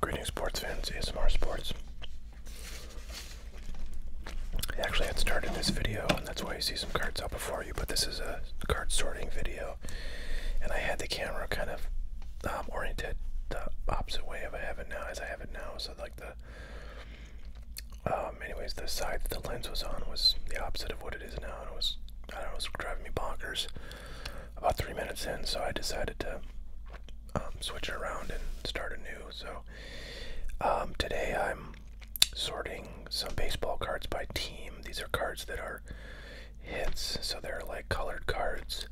Greetings, sports fans, ASMR Sports. I actually had started this video, and that's why you see some cards out before you, but this is a card sorting video, and I had the camera kind of um, oriented the opposite way of I have it now, as I have it now, so like the um, anyways, the side that the lens was on was the opposite of what it is now, and it was, I don't know, it was driving me bonkers about three minutes in, so I decided to um, switch around and start a new. So um, today I'm sorting some baseball cards by team. These are cards that are hits, so they're like colored cards,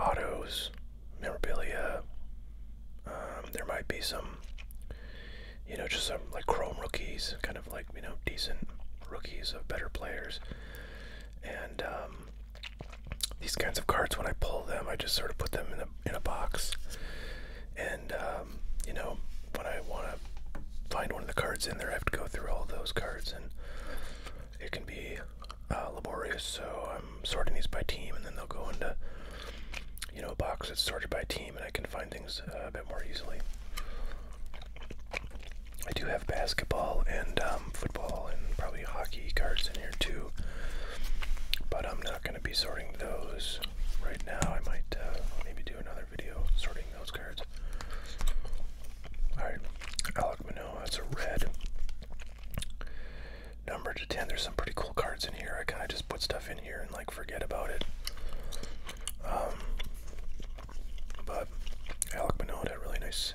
autos, memorabilia. Um, there might be some, you know, just some like chrome rookies, kind of like you know decent rookies of better players, and um, these kinds of cards. When I pull them, I just sort of put them in a in a box, and um, you know, when I want to find one of the cards in there, I have to go through all those cards, and it can be uh, laborious. So I'm sorting these by team, and then they'll go into you know a box that's sorted by team, and I can find things uh, a bit more easily. I do have basketball and um, football and probably hockey cards in here too, but I'm not going to be sorting those right now. I might uh, maybe do another video sorting those cards. All right, Alec Manoa. That's a red number to 10. There's some pretty cool cards in here. I kind of just put stuff in here and like forget about it. Um, but Alec Minot had a really nice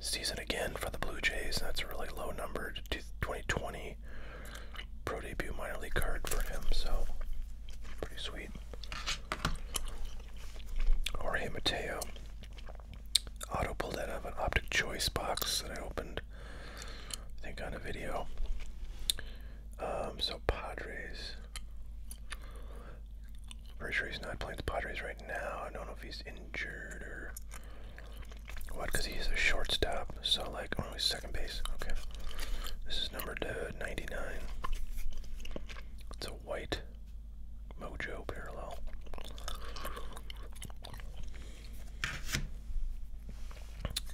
season again for the Blue Jays. That's a really low number to 2020 pro debut minor league card for him. So pretty sweet. Jorge Mateo auto pulled out of an optic choice box that I opened, I think, on a video. Um, so Padres. Pretty sure he's not playing the Padres right now. I don't know if he's injured or what, because he's a shortstop. So, like, oh, he's second base. Okay. This is number 99. It's a white Mojo parallel.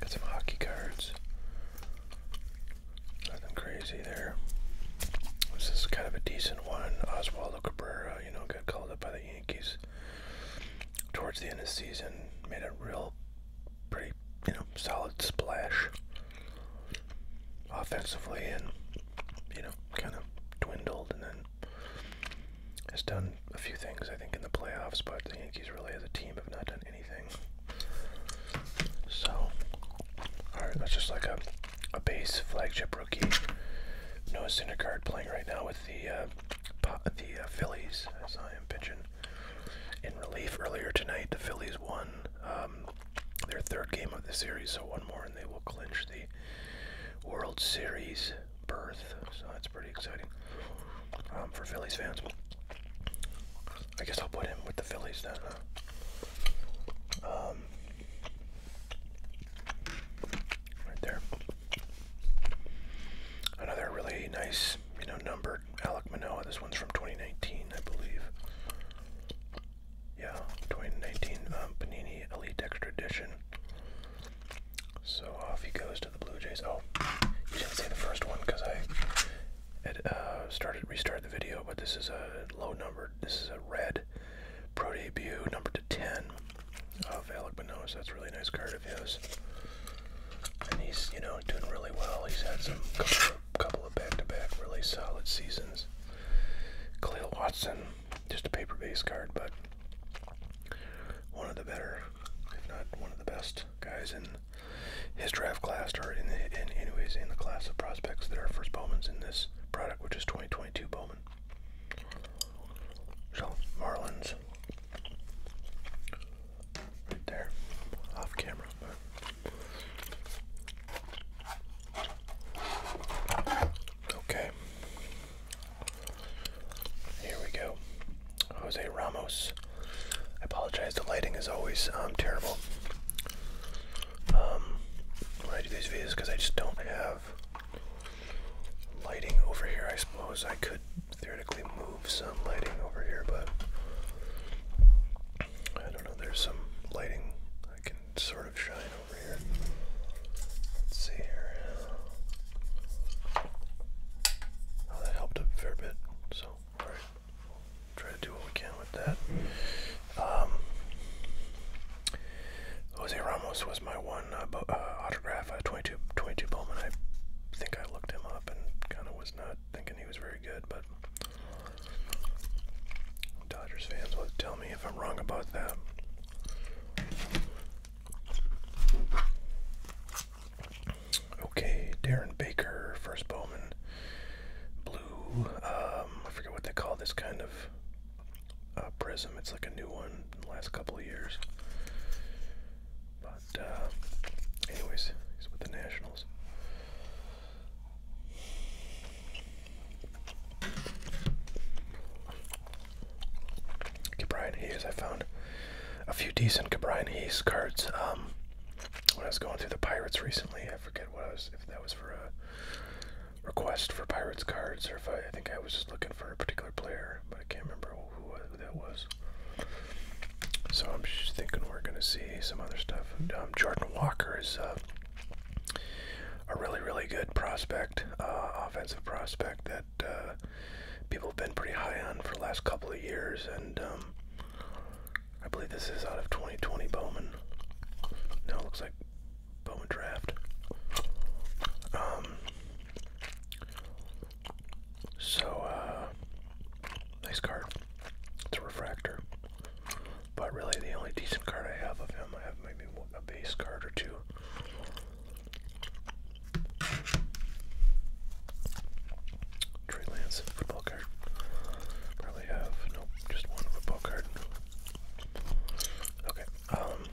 Got some hockey cards. Nothing crazy there. This is kind of a decent one. Oswaldo Cabrera, you know, got called up by the Yankees towards the end of the season. Made a real, pretty, you know, solid splash offensively and, you know, kind of dwindled and then has done a few things, I think, in the playoffs, but the Yankees really, as a team, have not done anything. So, all right, that's just like a, a base flagship rookie. Noah Syndergaard playing right now with the uh, the uh, Phillies, as I am pitching in relief earlier tonight. The Phillies won um, their third game of the series, so one more and they will clinch the World Series berth, so that's pretty exciting um, for Phillies fans. I guess I'll put him with the Phillies then. Um, right there. Another really nice, you know, numbered Alec Manoa. This one's from 2019, I believe. Yeah, 2019 um, Panini Elite Extra Edition. So off he goes to the Blue Jays. Oh, you didn't see the first one because I uh, started restarted the video, but this is a low number. This is a red pro debut, number to 10 of Alec Minos. That's a really nice card of his. And he's, you know, doing really well. He's had some couple of back-to-back -back really solid seasons. Khalil Watson just a paper based card, but one of the better, if not one of the best guys in his draft class, or in, the, anyways in the class of prospects that are first Bowman's in this product, which is 2022 Bowman. So Marlins, right there, off camera. Okay, here we go. Jose Ramos. I apologize, the lighting is always um, terrible um, when I do these videos because I just don't have lighting over here. I suppose I could theoretically move some lighting over here, but I don't know. There's some lighting I can sort of shine Let's see here. Well, oh, that helped a fair bit. So, try to do what we can with that. Um, Jose Ramos was my one uh, uh, autograph. Uh, 22, 22 Bowman. I think I looked him up and kind of was not thinking he was very good, but Dodgers fans will tell me if I'm wrong about that. Okay, Darren Baker, first Bowman, blue. Um, I forget what they call this kind of uh, prism. It's like a new one in the last couple of years. But, uh, anyways, he's with the Nationals. Cabrian Hayes. I found a few decent Cabrian Hayes cards um, when I was going through the Pirates recently. I forget what I was, if that was for a request for Pirates cards or if I, think I was just looking for a particular player, but I can't remember who, that was. So I'm thinking we're going to see some other stuff. Um, Jordan Walker is uh, a really, really good prospect. Uh, offensive prospect that uh, people have been pretty high on for the last couple of years, and um, I believe this is out of 2020 Bowman. No, it looks like Bowman draft. Um, so, uh, nice card. It's a refractor, but really the only decent card I have of him, I have maybe one a base card or two. Trey Lance football card. Probably have nope, just one football card. Okay. Um.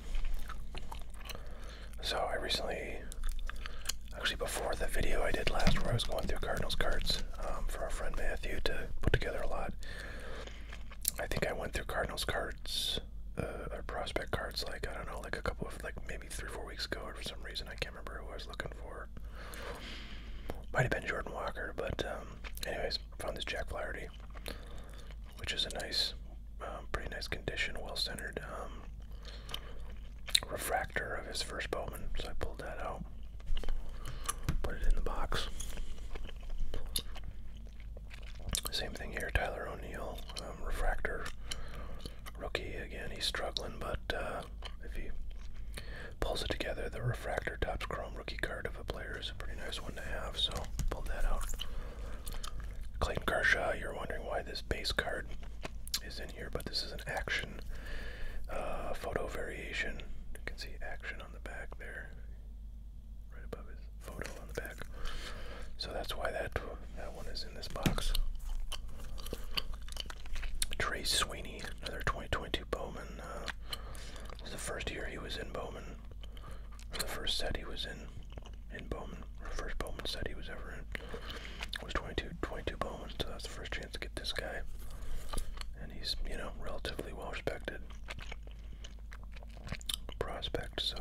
So I recently, actually before the video I did last where I was going through Cardinals cards um, for our friend Matthew to put together a lot. I think I went through Cardinals cards uh, prospect cards like I don't know like a couple of like maybe three four weeks ago or for some reason I can't remember who I was looking for might have been Jordan Walker but um, anyways found this Jack Flaherty which is a nice um, pretty nice condition well centered um, refractor of his first Bowman so I pulled that out put it in the box same thing here, Tyler O'Neill, um, refractor rookie again. He's struggling, but uh, if he pulls it together, the refractor tops chrome rookie card of a player is a pretty nice one to have. So pull that out. Clayton Kershaw, you're wondering why this base card is in here, but this is an action uh, photo variation. You can see action on the back there right above his photo on the back. So that's why that that one is in this box. Trey Sweeney, another 2022 Bowman. Uh, the first year he was in Bowman. The first set he was in, in Bowman. The first Bowman set he was ever in was 22, 22 Bowman. So that's the first chance to get this guy. And he's, you know, relatively well respected prospect. So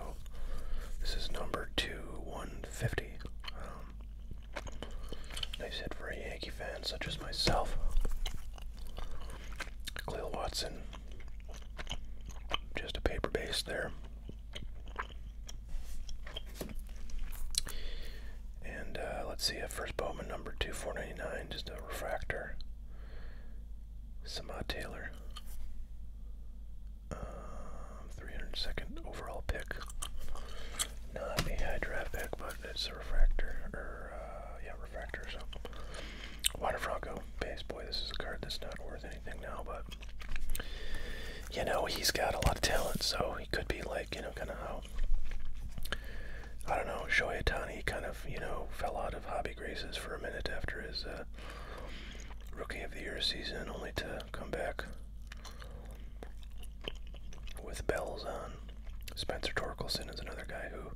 this is number two one fifty. Um, nice hit for a Yankee fan such as myself. Cleo Watson, just a paper base there. And uh, let's see, a uh, first Bowman number two four ninety nine, just a refractor. Samad Taylor. 302nd um, overall pick. Not a high draft pick, but it's a refractor, or, uh, yeah, refractor, so. Water Franco, base. Boy, this is a card that's not worth anything now, but, you know, he's got a lot of talent, so he could be, like, you know, kind of how, I don't know, Shohei Tani kind of, you know, fell out of hobby graces for a minute after his, uh, Rookie of the Year season, only to come back with bells on. Spencer Torkelson is another guy who,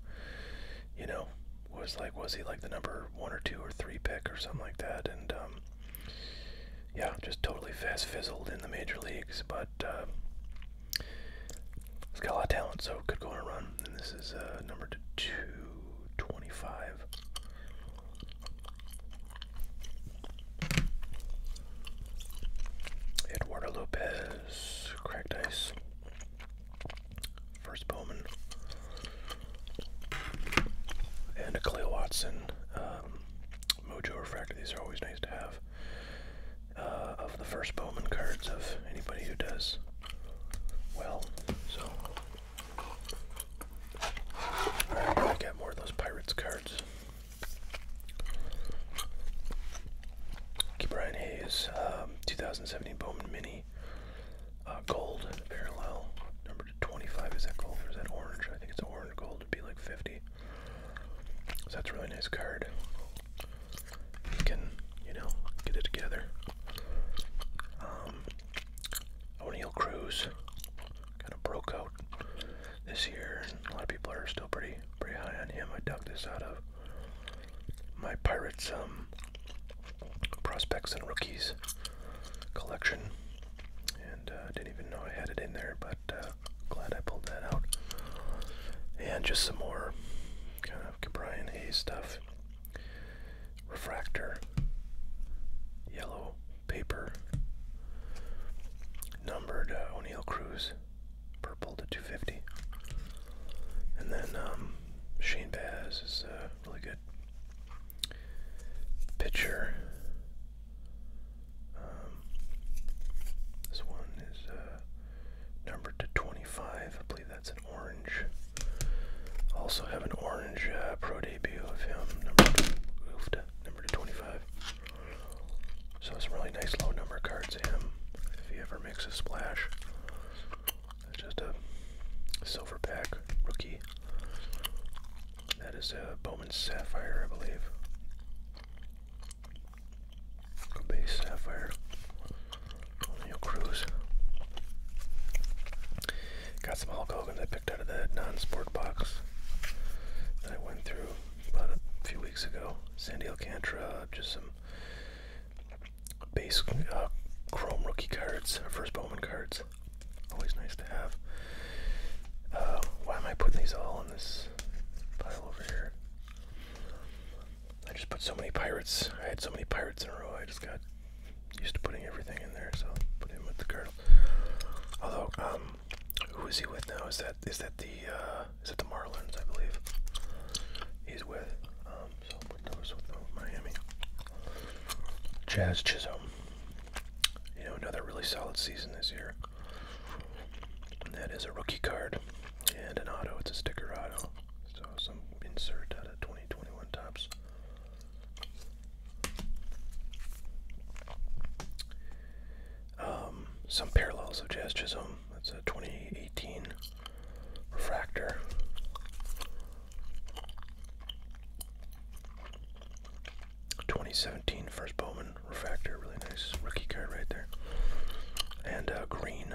you know, was like, was he like the number one or two or three pick or something like that? And, um, yeah, just totally fast fizzled in the major leagues, but uh, he's got a lot of talent, so could go on a run. And this is uh, number two. 25. Eduardo Lopez, cracked ice. First Bowman. And a Clay Watson. Um, Mojo Refractor, these are always nice to have. Uh, of the first Bowman cards of anybody who does well. So I got more of those Pirates cards. Keep Brian Hayes, um, 2017 Bowman Mini. Uh, gold parallel number 25 is that gold or is that orange i think it's orange gold would be like 50 so that's a really nice card you can you know get it together um, O'Neill Cruz kind of broke out this year, and a lot of people are still pretty pretty high on him. I dug this out of my Pirates um, prospects and rookies collection, and uh, didn't even know I had it in there, but uh, glad I pulled that out. And just some more kind of Cabrian Hay stuff refractor, yellow paper, numbered uh, O'Neill cruise, purple to 250. And then um, Shane Baz is a really good pitcher. Um, this one is uh, numbered to 20. 25. I believe that's an orange. Also have an orange uh, pro debut of him, number oofed, number to 25. So some really nice low number cards to him. If he ever makes a splash, it's just a silver pack rookie. That is a uh, Bowman Sapphire, I believe. A base Sapphire cruise. Got some Hulk Hogan I picked out of the non-sport box that I went through about a few weeks ago. Sandy Alcantara, just some base uh, Chrome rookie cards, first Bowman cards. Always nice to have. Uh, why am I putting these all in this pile over here? I just put so many pirates. I had so many pirates in a row. I just got used to putting everything in there. So put him with the colonel. Although, um, who is he with now? Is that is that the uh, is that the Marlins? I believe he's with. Um, so put those with Miami. Jazz Chisholm. You know, another really solid season this year. that is a rookie card and an auto. It's a sticker auto. So some insert out of 20. 2021 tops. Um, some parallels of Jazz Chisholm. Um, that's a 2018 refractor. 2017 first Bowman refractor, really nice rookie card right there. And uh, green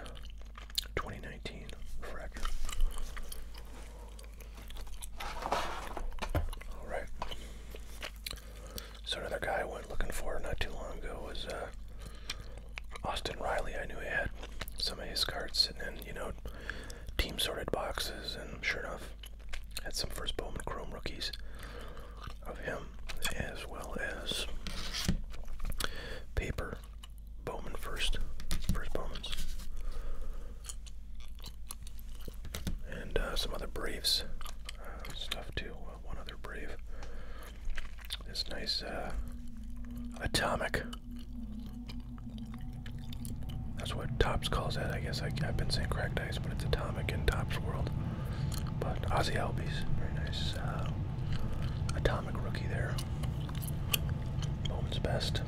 2019 refractor. Alright. So another guy I went looking for not too long ago was uh, Austin Riley. I knew he had some of his cards sitting in, you know, team sorted boxes, and sure enough, had some first Bowman Chrome rookies of him, as well as paper Bowman first. First Bowman's. And uh, some other Braves uh, stuff too. Uh, one other Brave. This nice uh, Atomic. That's what Tops calls it. I guess I, have been saying cracked ice, but it's Atomic in Tops World. But Ozzy Albies, very nice uh, Atomic rookie there. Bowman's best.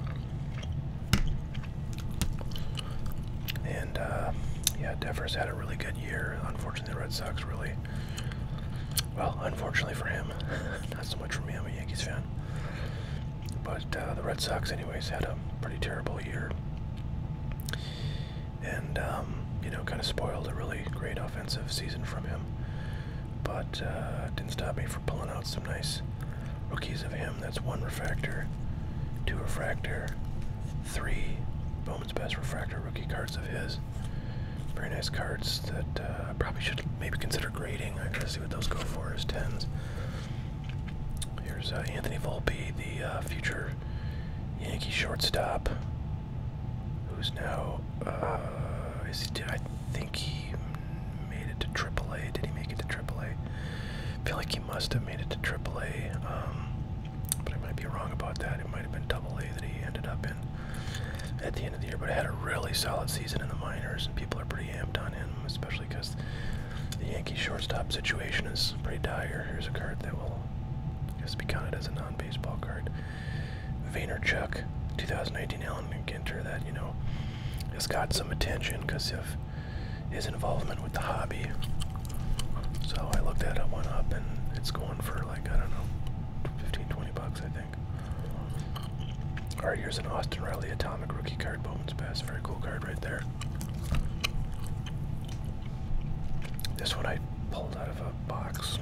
And uh, yeah, Devers had a really good year. Unfortunately, the Red Sox really, well, unfortunately for him, not so much for me. I'm a Yankees fan. But uh, the Red Sox, anyways, had a pretty terrible year. And, um, you know, kind of spoiled a really great offensive season from him but uh, didn't stop me from pulling out some nice rookies of him. That's one refractor, two refractor, three Bowman's Best refractor rookie cards of his. Very nice cards that uh, I probably should maybe consider grading. I gotta see what those go for as tens. Here's uh, Anthony Volpe, the future Yankee shortstop, who's now uh, is he? I think he made it to AAA. Did he make it to AAA? I feel like he must have made it to AAA, um, but I might be wrong about that. It might have been Double A that he ended up in at the end of the year. But had a really solid season in the minors, and people are pretty amped on him, especially because the Yankee shortstop situation is pretty dire. Here's a card that will, just be counted as a non-baseball card. Vaynerchuk, 2018 Alan Ginter that you know has got some attention because of his involvement with the hobby. So I looked at that one up, and it's going for like I don't know, 15, 20 bucks, I think. All right, here's an Austin Riley Atomic Rookie Card, Bowman's pass, very cool card right there. This one I pulled out of a box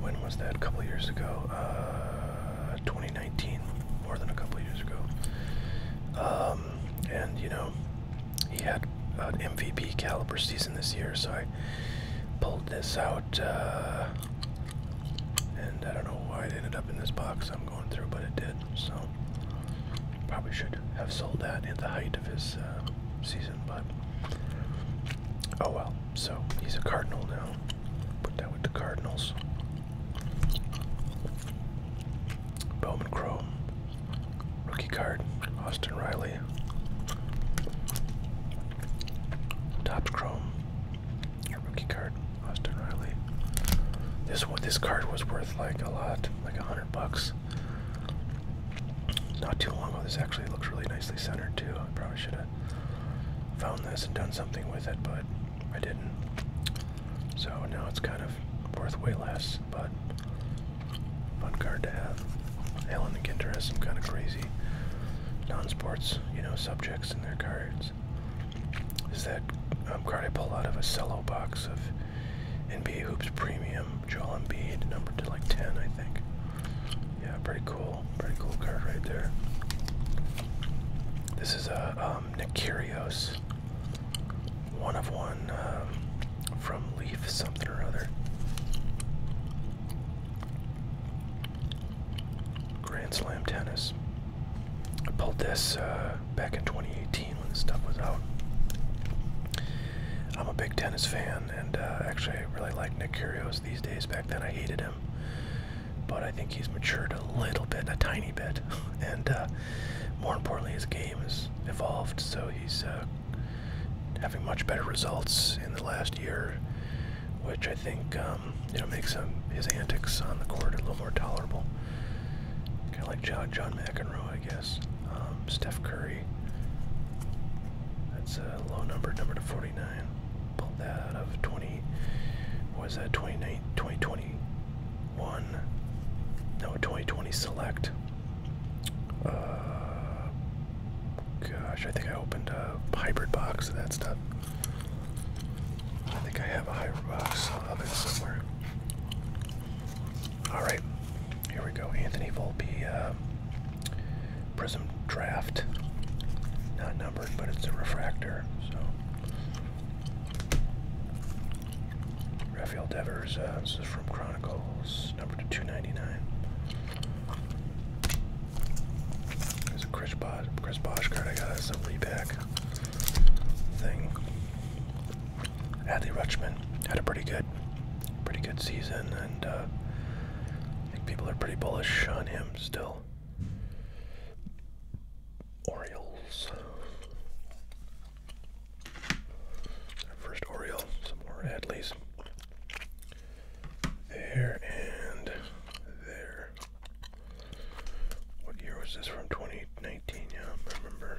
when was that? A couple years ago, uh, 2019, more than a couple years ago. Um, and you know, he had an MVP caliber season this year, so I pulled this out. Uh, and I don't know why it ended up in this box I'm going through, but it did. So probably should have sold that at the height of his uh, season, but oh well. So he's a cardinal now. Put that with the cardinals. Bowman Chrome. Rookie card. Austin Riley. Top Chrome. Rookie card. Austin Riley. This one this card was worth like a lot, like a hundred bucks. Not too long ago. This actually looks really nicely centered too. I probably should have found this and done something with it, but I didn't. So now it's kind of worth way less, but fun card to have. Alan and Ginter has some kind of crazy non-sports, you know, subjects in their cards. Is that um, card I pulled out of a cello box of NBA Hoops Premium, Joel Embiid, number to like 10, I think. Yeah, pretty cool. Pretty cool card right there. This is a uh, um, Nikirios, one of one um, from Leaf something or other. Grand Slam Tennis. I pulled this uh, back in 2018 when this stuff was out. I'm a big tennis fan, and uh, actually, really like Nick Kyrgios these days. Back then, I hated him, but I think he's matured a little bit, a tiny bit, and uh, more importantly, his game has evolved. So he's uh, having much better results in the last year, which I think um, makes his antics on the court a little more tolerable. Kind of like John, McEnroe, I guess. Um, Steph Curry. That's a low number, number to 49 pulled that out of 20 was that 29 2021 no 2020 select uh, gosh I think I opened a hybrid box of that stuff I think I have a hybrid box of it somewhere all right here we go Anthony Volpe uh, Prism Draft. Not numbered, but it's a refractor. So Raphael Devers. Uh, this is from Chronicles, number 299. There's a Chris Bosch, card I got as a repack thing. Adley Rutschman had a pretty good, pretty good season, and uh, people are pretty bullish on him still. Orioles. First Oriole, some more Adleys. There and there. What year was this from? 2019, yeah, remember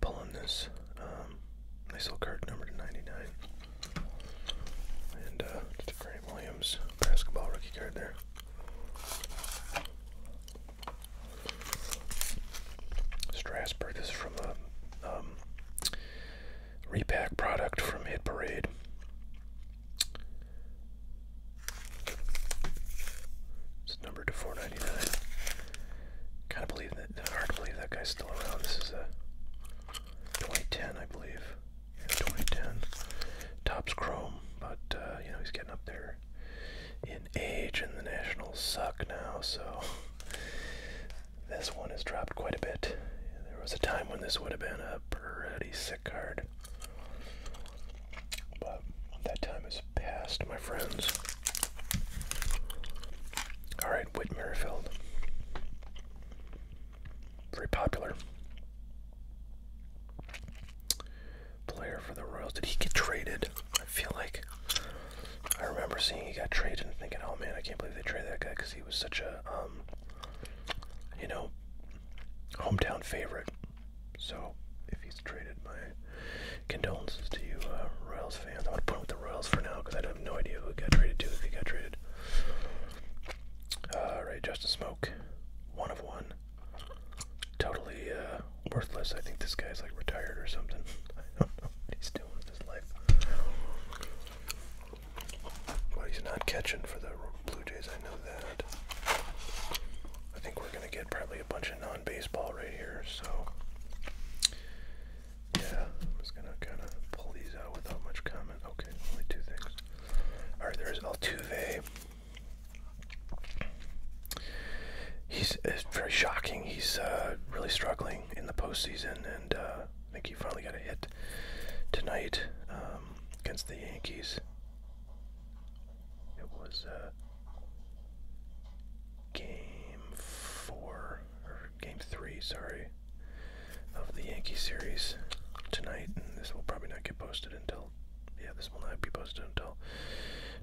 pulling this. Um, Nice little card number to 99. And uh, just a Grant Williams basketball rookie card there. Strasburg. This is from a um, um, repack product from Hit Parade. It's numbered to 499. Kind of believe that. Hard to believe that guy's still around. This is a 2010, I believe. Yeah, 2010. Top's chrome, but uh, you know he's getting up there in age, and the Nationals suck now. So this one has dropped quite a bit. There was a time when this would have been a pretty sick card, but that time is past, my friends. All right, Whit Merrifield. Very popular player for the Royals. Did he get traded? I feel like I remember seeing he got traded and thinking, "Oh man, I can't believe they traded that guy because he was such a, um, you know, hometown favorite." So, if he's traded, my condolences to you, uh, Royals I'm gonna point with the Royals for now because I have no idea who he'd got traded to if he got traded. Uh, right, Justin Smoke, one of one, totally uh, worthless. I think this guy's like retired or something. I don't know doing with his life. Well, he's not catching for the Blue Jays. I know that. I think we're gonna get probably a bunch of non-baseball right here. So yeah, I'm just gonna kind of pull these out without much comment. Okay, only two things. All right, there's Altuve. He's it's very shocking. He's uh, really struggling in the postseason, and uh, I think he finally got a hit tonight um, against the Yankees. It was uh, game four game three, sorry, of the Yankee series tonight. And this will probably not get posted until, yeah, this will not be posted until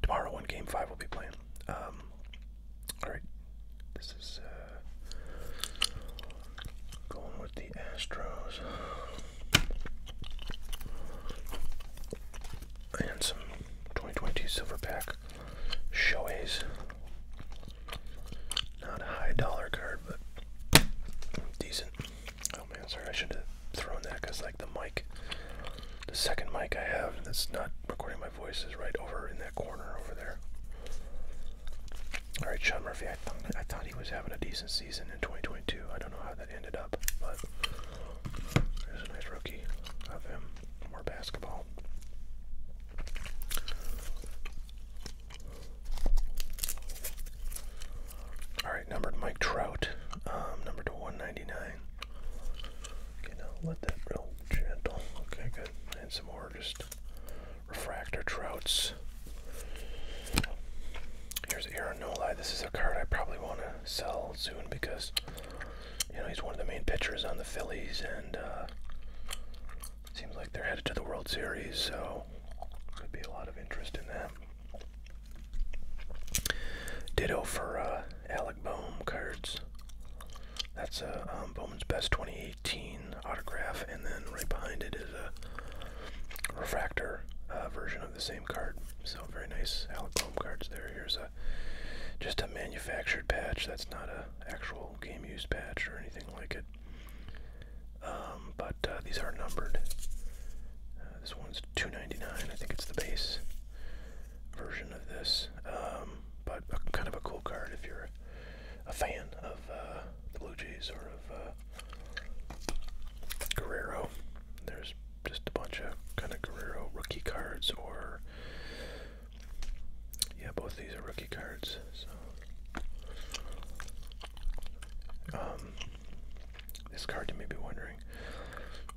tomorrow when game five will be played. Um, Alright, this is uh, going with the Astros. And some 2022 silver pack Shoei's not a high dollar card, but decent. Oh man, sorry, I should have thrown that because, like, the mic, the second mic I have that's not recording my voice is right over in that corner over there. All right, Sean Murphy. I thought I thought he was having a decent season in 2022. I don't know how that ended up, but there's a nice rookie of him. More basketball. All right, numbered Mike Trout, um, number to 199. Okay, now let that real gentle. Okay, good. Find some more just refractor Trouts. Here's Aaron Noli. This is a card I probably want to sell soon because you know, he's one of the main pitchers on the Phillies, and uh, seems like they're headed to the World Series, so could be a lot of interest in that. Ditto for uh, Alec Bohm cards. That's a uh, um, Best 2018 autograph, and then right behind it is a refractor version of the same card. So very nice Alec Bohm cards there. Here's a just a manufactured patch. That's not a actual game use patch or anything like it. Um, but uh, these are numbered. Uh, this one's 299. I think it's the base version of this. Um, but kind of a cool card if you're a fan of uh, the Blue Jays or of Guerrero. There's just a bunch of kind of Guerrero rookie cards or yeah, both these are rookie cards. So, um, this card you may be wondering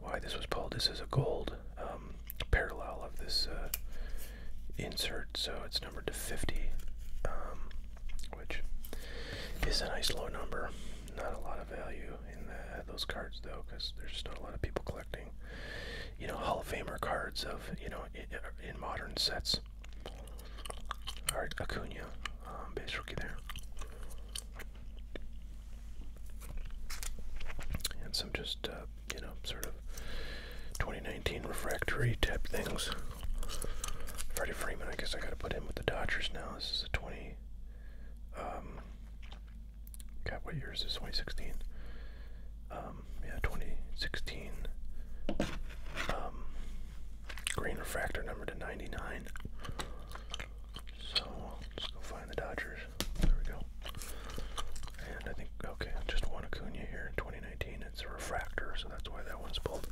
why this was pulled. This is a gold um, parallel of this uh, insert, so it's numbered to 50, um, which is a nice low number. Not a lot of value in uh, those cards though, because there's not a lot of people collecting you know, Hall of Famer cards of, you know, in, modern sets. All right, Acuna, um, base rookie there. And some just, uh, you know, sort of 2019 refractory type things. Freddie Freeman, I guess I got to put in with the Dodgers now. This is a 20. Um, God, what year is this? 2016. Um, um, yeah, 2016 um, green refractor number to 99. So let's go find the Dodgers. There we go. And I think, okay, just one Acuna here in 2019. It's a refractor, so that's why that one's pulled.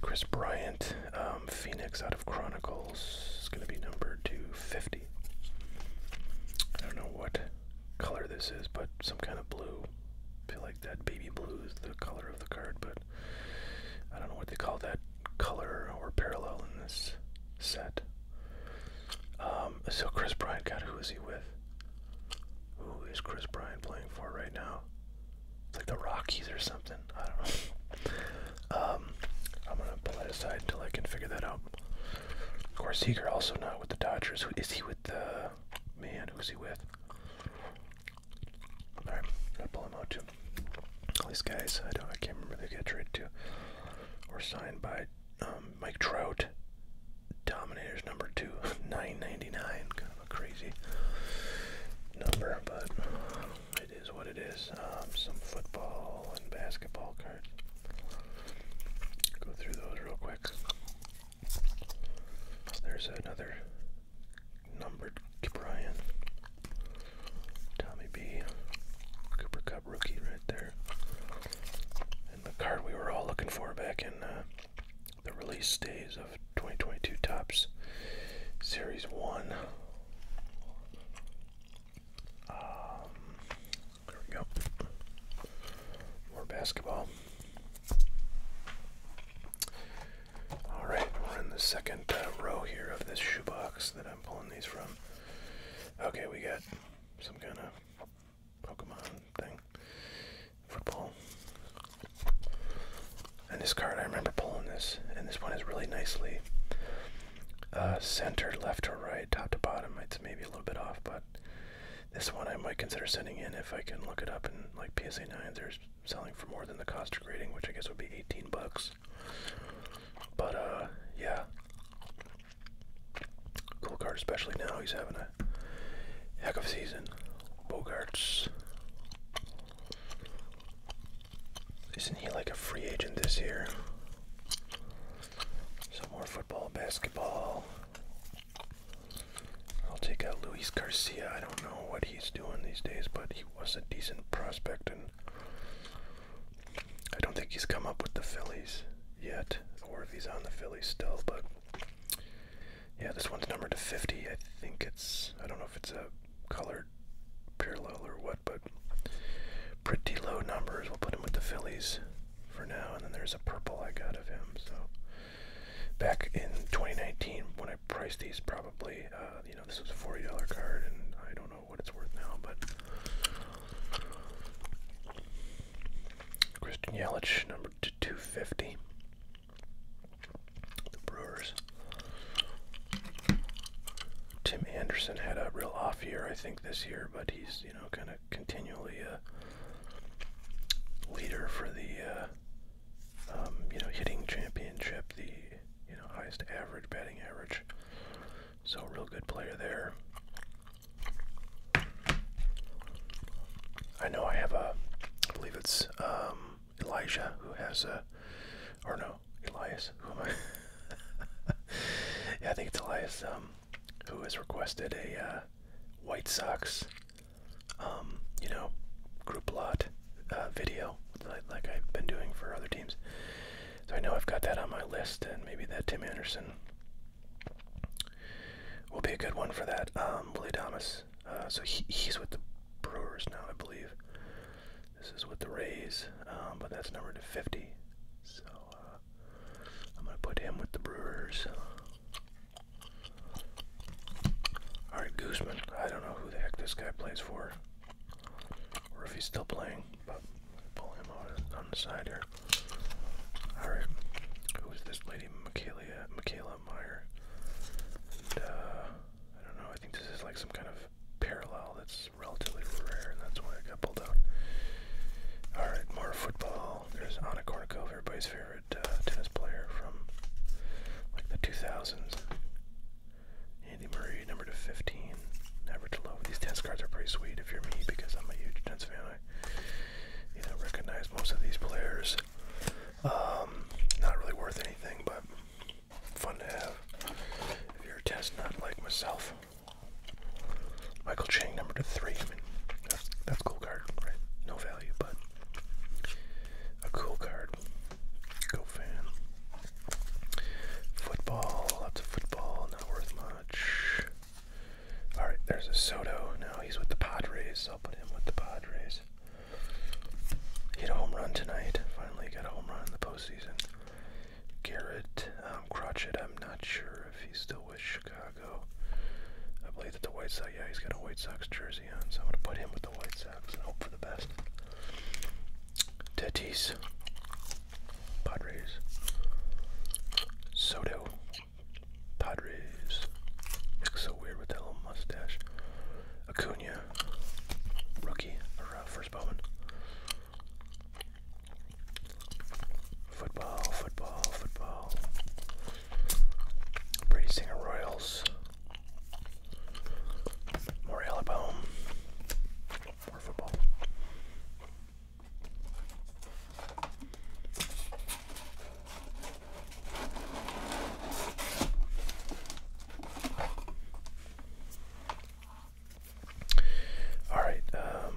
Chris Bryant, um, Phoenix out of Chronicles, is going to be number 50. I don't know what color this is, but some kind of blue. I feel like that baby blue is the color of the card, but I don't know what they call that color or parallel in this set. Um, so Chris Bryant, God, who is he with? Who is Chris Bryant playing for right now? It's like the Rockies or something. I don't know. Um, I'm gonna pull that aside until I can figure that out. Of course, Seager also not with the Dodgers. Who is he with the man? Who's he with? All right, gotta pull him out too. All these guys, I don't, I can't remember they got traded to or signed by um, Mike Trout. Dominators number two, nine ninety nine. Kind of a crazy number, but it is what it is. Um, some football and basketball cards. Go through those real quick. There's another numbered Brian. Tommy B. Cooper Cup rookie right there. And the card we were all looking for back in uh, the release days of 2022 Tops Series 1. Um, there we go. More basketball. All right, we're in the second uh, row here of this shoebox that I'm pulling these from. Okay, we got some kind of Pokemon thing, football. And this card, I remember pulling this, and this one is really nicely uh, Centered left to right, top to bottom. It's maybe a little bit off, but this one I might consider sending in if I can look it up. And like PSA 9, they're selling for more than the cost of grading, which I guess would be 18 bucks. But uh, yeah, cool card, especially now. He's having a heck of a season. Bogarts. Isn't he like a free agent this year? Some more football, basketball. I'll take out Luis Garcia. I don't know what he's doing these days, but he was a decent prospect, and I don't think he's come up with the Phillies yet, or if he's on the Phillies still. But yeah, this one's numbered to 50. I think it's, I don't know if it's a colored parallel or what but pretty low numbers. We'll put him with the Phillies for now, and then there's a purple I got of him. So back in 2019, when I priced these, probably uh, you know this was a $40 card, and I don't know what it's worth now, but. Christian Yelich, number to 250. The Brewers. Tim Anderson had a real off year, I think, this year, but he's you know, kind of continually a leader for the, uh, um, you know, hitting championship, the, you know, highest average, batting average. So, real good player there. I know I have a, I believe it's um, Elijah who has a, or no, Elias, who am I? yeah, I think it's Elias. Um, who has requested a uh, White Sox, um, you know, group lot uh, video like, I've been doing for other teams. So I know I've got that on my list, and maybe that Tim Anderson will be a good one for that. Um, Willie Thomas. Uh, so he's with the Brewers now, I believe. This is with the Rays, um, but that's numbered to 50. So I'm gonna put him with the Brewers. All right, Gooseman. I don't know who the heck this guy plays for, or if he's still playing. But pull him out on the side here. All right, who is this lady, Michaela, Michaela Meyer? Uh, I don't know. I think this is like some kind of parallel. That's relatively rare, and that's why I got pulled out. All right, more football. There's Anna Kournikova, everybody's favorite uh, tennis player from like the 2000s. Andy Murray, number to 15, average low. These tennis cards are pretty sweet if you're me, because I'm a huge tennis fan. I, you know, recognize most of these players. Um, not really worth anything, but fun to have. If you're a tennis nut like myself. Michael Chang, number to three. that's a cool card, right? No value, but a cool card. Go fan. Football, lots of football, not worth much. All right, there's a Soto. Now he's with the Padres. So I'll put him with the Padres. Hit a home run tonight. Finally got a home run in the postseason. Garrett um, Crotchet. I'm not sure if he's still with Chicago. I believe that the White Sox. Yeah, he's got a White Sox jersey on, so I'm gonna put him with the White Sox and hope for the best. Tatis, Padres, Soto, Padres. Looks so weird with that little mustache. Acuna, rookie or first Bowman. Football, football, football. Brady Singer Royals. More Alabama. More football. Alright, um,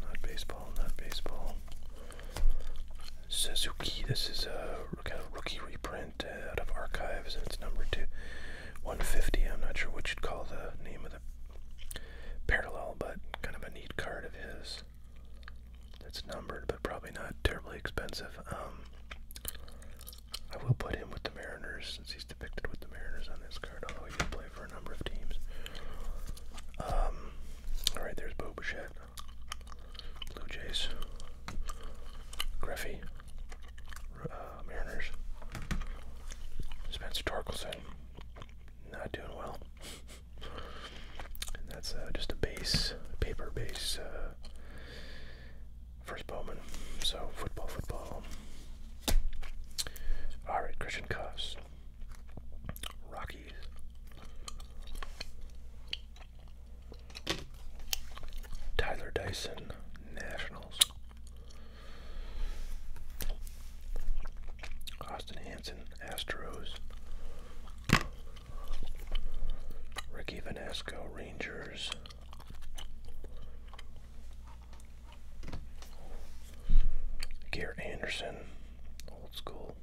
not baseball, not baseball. Suzuki, this is a rookie reprint uh, out of archives, and it's numbered to 150. I'm not sure what you'd call the name of the parallel, but kind of a neat card of his. It's numbered, but probably not terribly expensive. Um, I will put him with the Mariners he's depicted with the Mariners on this card, although he did for a number of teams. Um, all right, there's Bo Blue Jays, Griffey, uh, Mariners, Spencer Torkelson, not doing well. and that's uh, just a base, paper base, uh, first Bowman. So football, football. All right, Christian Cuffs, Rockies. Tyler Dyson, Nationals. Austin Hanson, Astros. Ricky Vanasco, Rangers. Garrett Anderson, old school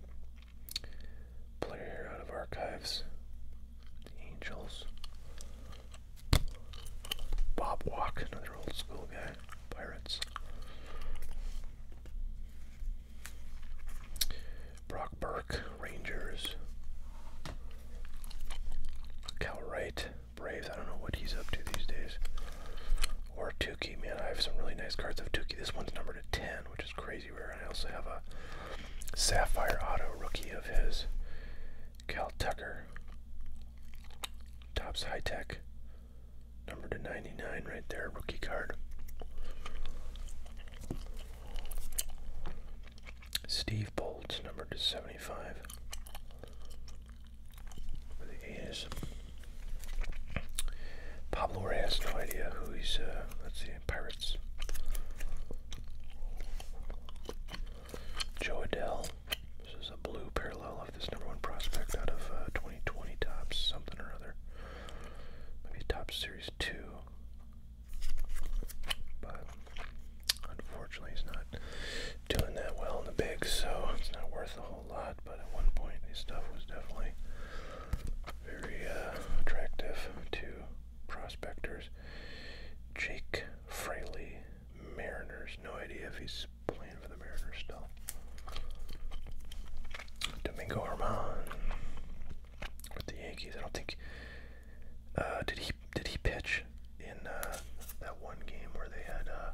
player out of archives. The Angels. Bob Walk, another old school guy. Pirates. Brock Burke, Rangers. Cal Wright, Braves. I don't know what he's up to these days. Or Tukey, man. I have some really nice cards of Tukey. This one's number to 10, which is crazy rare. And I also have a Sapphire Auto rookie of his. Cal Tucker. Tops High Tech. Number to 99 right there, rookie card. Steve Bolts, number to 75 he is. Pablo Ray has no idea who he's, uh, let's see, Pirates. Joe Adell. This is a blue parallel of this number one prospect out of uh, 2020 Tops, something or other. Maybe Top Series 2. But unfortunately, he's not doing that well in the big, so it's not worth a whole lot. But at one point, this stuff was definitely very uh, attractive to prospectors. Jake Fraley, Mariners. No idea if he's playing for the Mariners still. Domingo Herman with the Yankees. I don't think. Uh, did he did he pitch? in uh, that one game where they had, uh,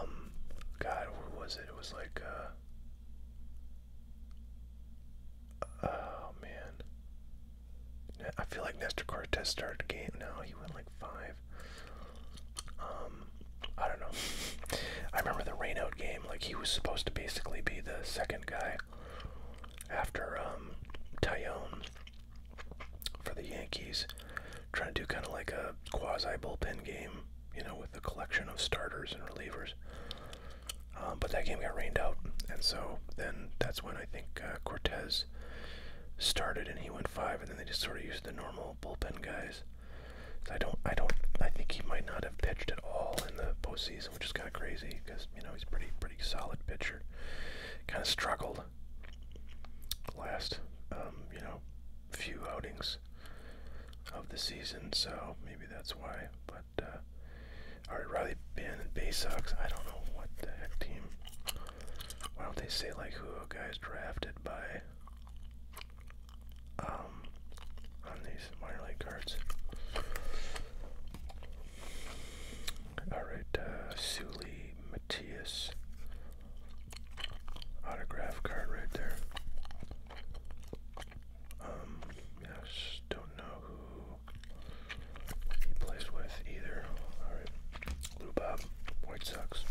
um, God, what was it? It was like, uh, oh man, I feel like Nestor Cortez started the game. No, he went like five. Um, I don't know. I remember the rainout game. Like he was supposed to basically be the second guy after um, Tyone for the Yankees, trying to do kind of like a quasi bullpen game, you know, with the collection of starters and relievers. Um, but that game got rained out, and so then that's when I think uh, Cortez started, and he went five, and then they just sort of used the normal bullpen guys. I don't, I don't, I think he might not have pitched at all in the postseason, which is kind of crazy because you know he's pretty, pretty solid pitcher. Kind of struggled last, um, you know, few outings of the season, so maybe that's why. But uh, all right, Riley Bannon, Bay Sox. I don't know what the heck team. Why don't they say like who a guy's drafted by? Um, on these minor league cards. All right, uh, Suli Matias autograph card right there. Um, I just don't know who he plays with either. All right, Lou Bob, White Sox.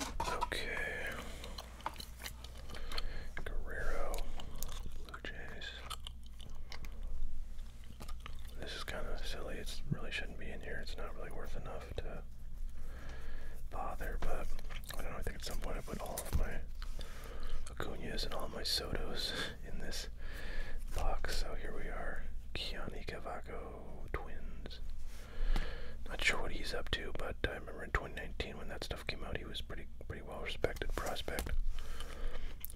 Okay, Guerrero, Blue Jays. This is kind of silly. It really shouldn't be in here. It's not really worth enough to bother, but I think at some point I put all of my Acuñas and all my Sotos in this box. So here we are. Keone Cavaco twins. Not sure what he's up to, but I remember in 2019 when that stuff came out, he was pretty pretty well respected prospect.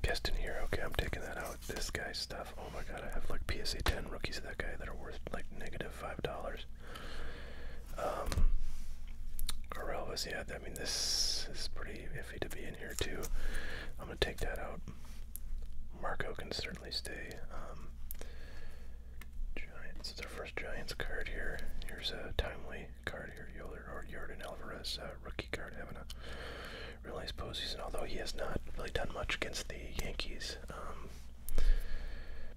Guest in here. Okay, I'm taking that out this guy's stuff. Oh my god, I have like PSA 10 rookies of that guy that are worth like $5. Um, yeah, I mean, this is pretty iffy to be in here too. I'm going to take that out. Marco can certainly stay. Um, Giants, it's our first Giants card here. Here's a timely card here, Yoler or Jordan Alvarez uh, rookie card realized postseason, although he has not really done much against the Yankees. Um,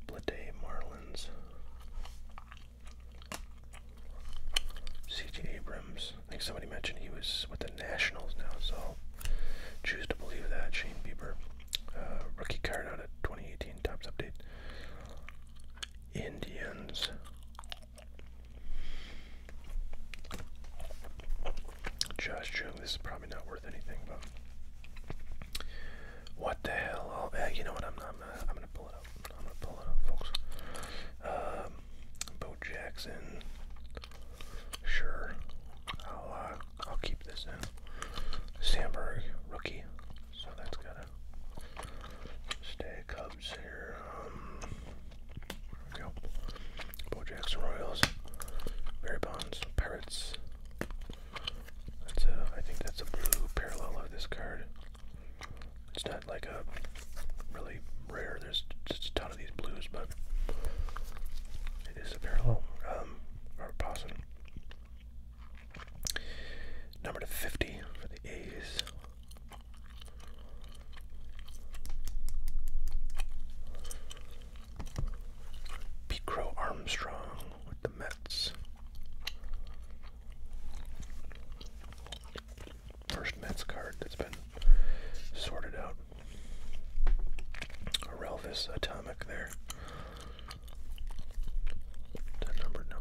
Blade Marlins, C.J. Abrams. I think somebody mentioned he was with the Nationals now, so choose to believe that. Shane Bieber, uh, rookie card out of 2018 Tops update. Indians, Josh Jung, this is probably not worth anything, but what the hell? I'll, eh, you know what? I'm, not. I'm gonna pull it up. I'm gonna pull it up, folks. Um, Bo Jackson. Sure, I'll uh, I'll keep this in. Sandberg, rookie, so that's gotta stay. Cub games here. Um, go. Bo Jackson Royals, Barry Bonds, Pirates. That's a, I think that's a blue parallel of this card. It's not like a really rare. There's just a ton of these blues, but it is a parallel. Um, Robert Posson. Number to 50 for the A's. Picro Armstrong with the Mets. First Mets card that's been sorted out. Relvis Atomic there. That number no.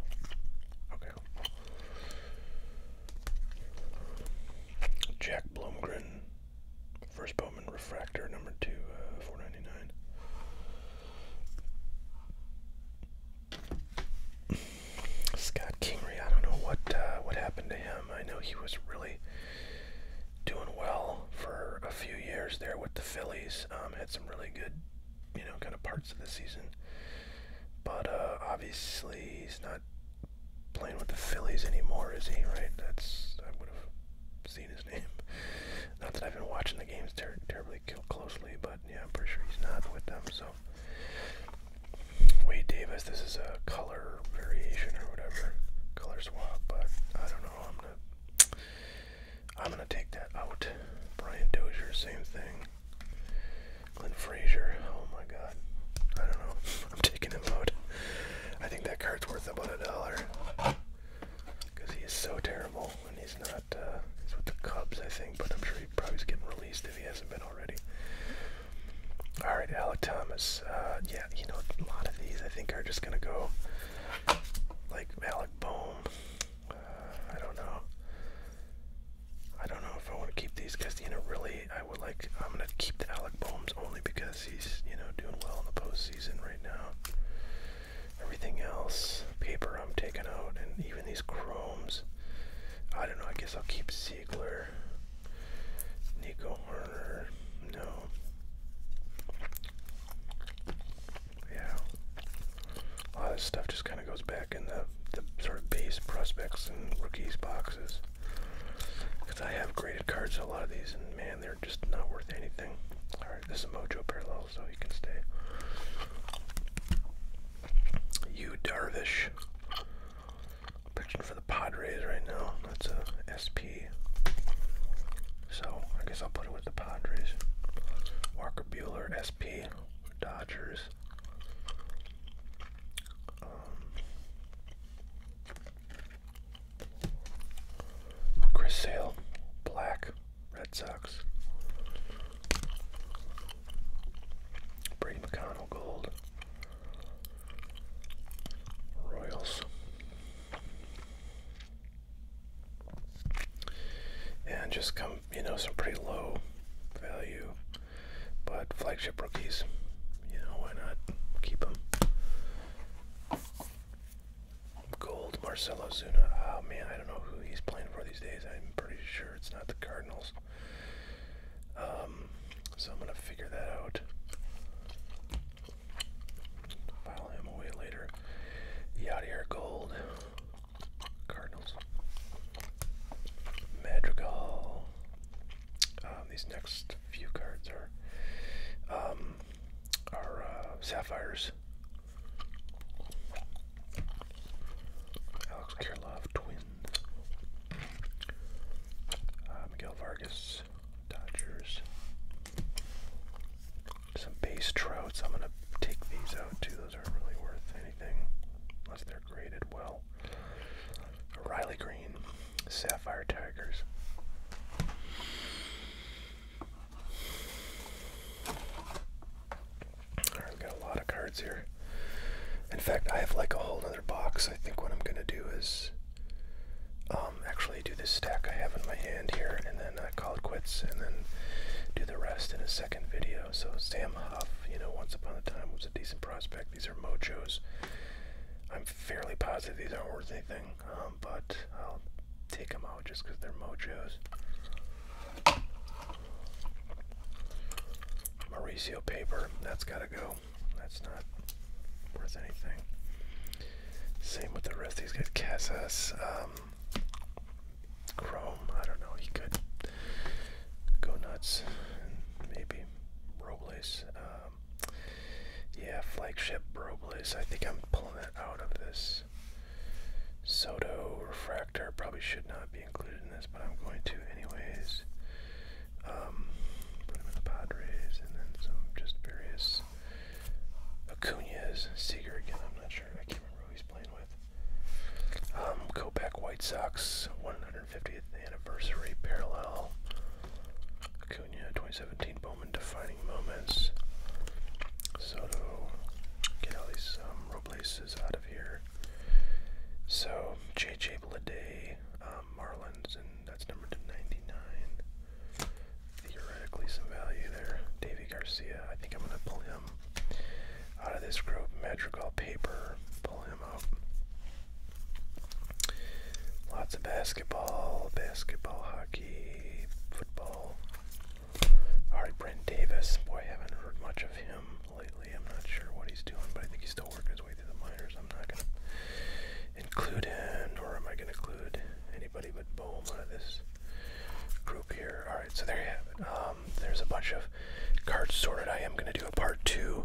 Okay. Jack Blomgren, first Bowman Refractor, number two, uh, four ninety nine. Scott Kingery, I don't know what uh, what happened to him. I know he was really doing well for a few years there with the Phillies. Um, had some really good, you know, kind of parts of the season, but uh, obviously he's not playing with the Phillies anymore, is he? Right? That's I would have seen his name. Not that I've been watching the games terribly closely, but yeah, I'm pretty sure he's not with them. So Wade Davis, this is a color variation or whatever, color swap. But I don't know. I'm gonna I'm gonna take that out. Brian Dozier, same thing. Clint Frazier. Oh my god. I don't know. I'm taking him out. I think that card's worth about a dollar. Because he is so terrible and he's not, uh, he's with the Cubs, I think, but I'm sure he probably's getting released if he hasn't been already. Alright, Alec Thomas. Uh, yeah, you know, a lot of these I think are just going to go like Alec Bohm. Uh, I don't know. I don't know if I want to keep these because, You know, really, I like. I'm gonna keep Alec Boems only because he's you know doing well in the postseason right now. Everything else, paper, I'm taking out, and even these chromes. I don't know. I guess I'll keep Siegler, Nico Horner. No. Yeah. A lot of this stuff just kind of goes back in the the sort of base prospects and rookies boxes. Because I have graded cards a lot of these, and man, they're just not worth anything. Alright, this is Mojo Parallel, so he can stay. You Darvish. Pitching for the Padres right now. That's a SP. So, I guess I'll put it with the Padres. Walker Bueller, SP. Dodgers. Um, Chris Sale, black, Red Sox. Brady McConnell, gold. Royals. And just come, you know, some pretty low value but flagship rookies, you know, why not keep them? Gold Marcelo Zuna. Oh man, I don't know who he's playing for these days. I'm pretty sure it's not the Cardinals. Um, so I'm gonna figure that out. File him away later. Yadier Gold. Cardinals. Madrigal. Um, these next few cards are um, are uh, sapphires. Alex Kirilov, Twins. Uh, Miguel Vargas, Dodgers. Some base trouts. I'm gonna take these out too. Those aren't really worth anything unless they're graded well. Riley Green, Sapphire Tigers. Alright, have got a lot of cards here. In fact, I have like a whole other box. I think what I'm going to do is um, actually do this stack I have in my hand here and then I uh, call it quits and then do the rest in a second video. So Sam Huff, you know, once upon a time was a decent prospect. These are mojos. I'm fairly positive these aren't worth anything, um, but I'll take them out just because they're Mochos. Mauricio paper, that's gotta go. That's not worth anything. Same with the rest. He's got Casas, um, Chrome. I don't know. He could go nuts. Maybe Robles. Um, yeah, flagship Robles. I think I'm pulling that out of this. Soto refractor probably should not be included in this, but I'm going to anyways. Um, put him in the Padres, and then some just various Acuna's, Seager again. I'm not sure. I can't remember who he's playing with. Um, White Sox. Fiftieth anniversary parallel. Acuna 2017 Bowman defining moments. Soto, get all these um, Robleses out of here. So JJ Bleday, um, Marlins, and that's number to 99. Theoretically, some value there. Davy Garcia, I think I'm gonna pull him out of this group. Madrigal Paper, pull him up. Lots of basketball, basketball, hockey, football. Alright, Brent Davis. Boy, haven't heard much of him lately. I'm not sure what he's doing, but I think he's still working his way through the minors. I'm not gonna include him, nor am I gonna include anybody but Bohm out of this group here. Alright, so there you have it. Um, there's a bunch of cards sorted. I am gonna do a part two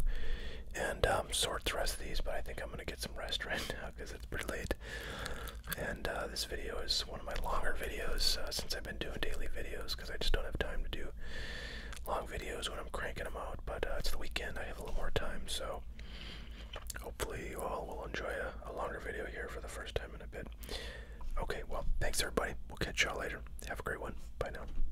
and um, sort the rest of these, but I think I'm gonna get some rest right because it's pretty late. And uh, this video is one of my longer videos uh, since I've been doing daily videos because I just don't have time to do long videos when I'm cranking them out. But uh, it's the weekend; I have a little more time, so hopefully you all will enjoy a longer video here for the first time in a bit. Okay, well, thanks everybody. We'll catch y'all later. Have a great one. Bye now.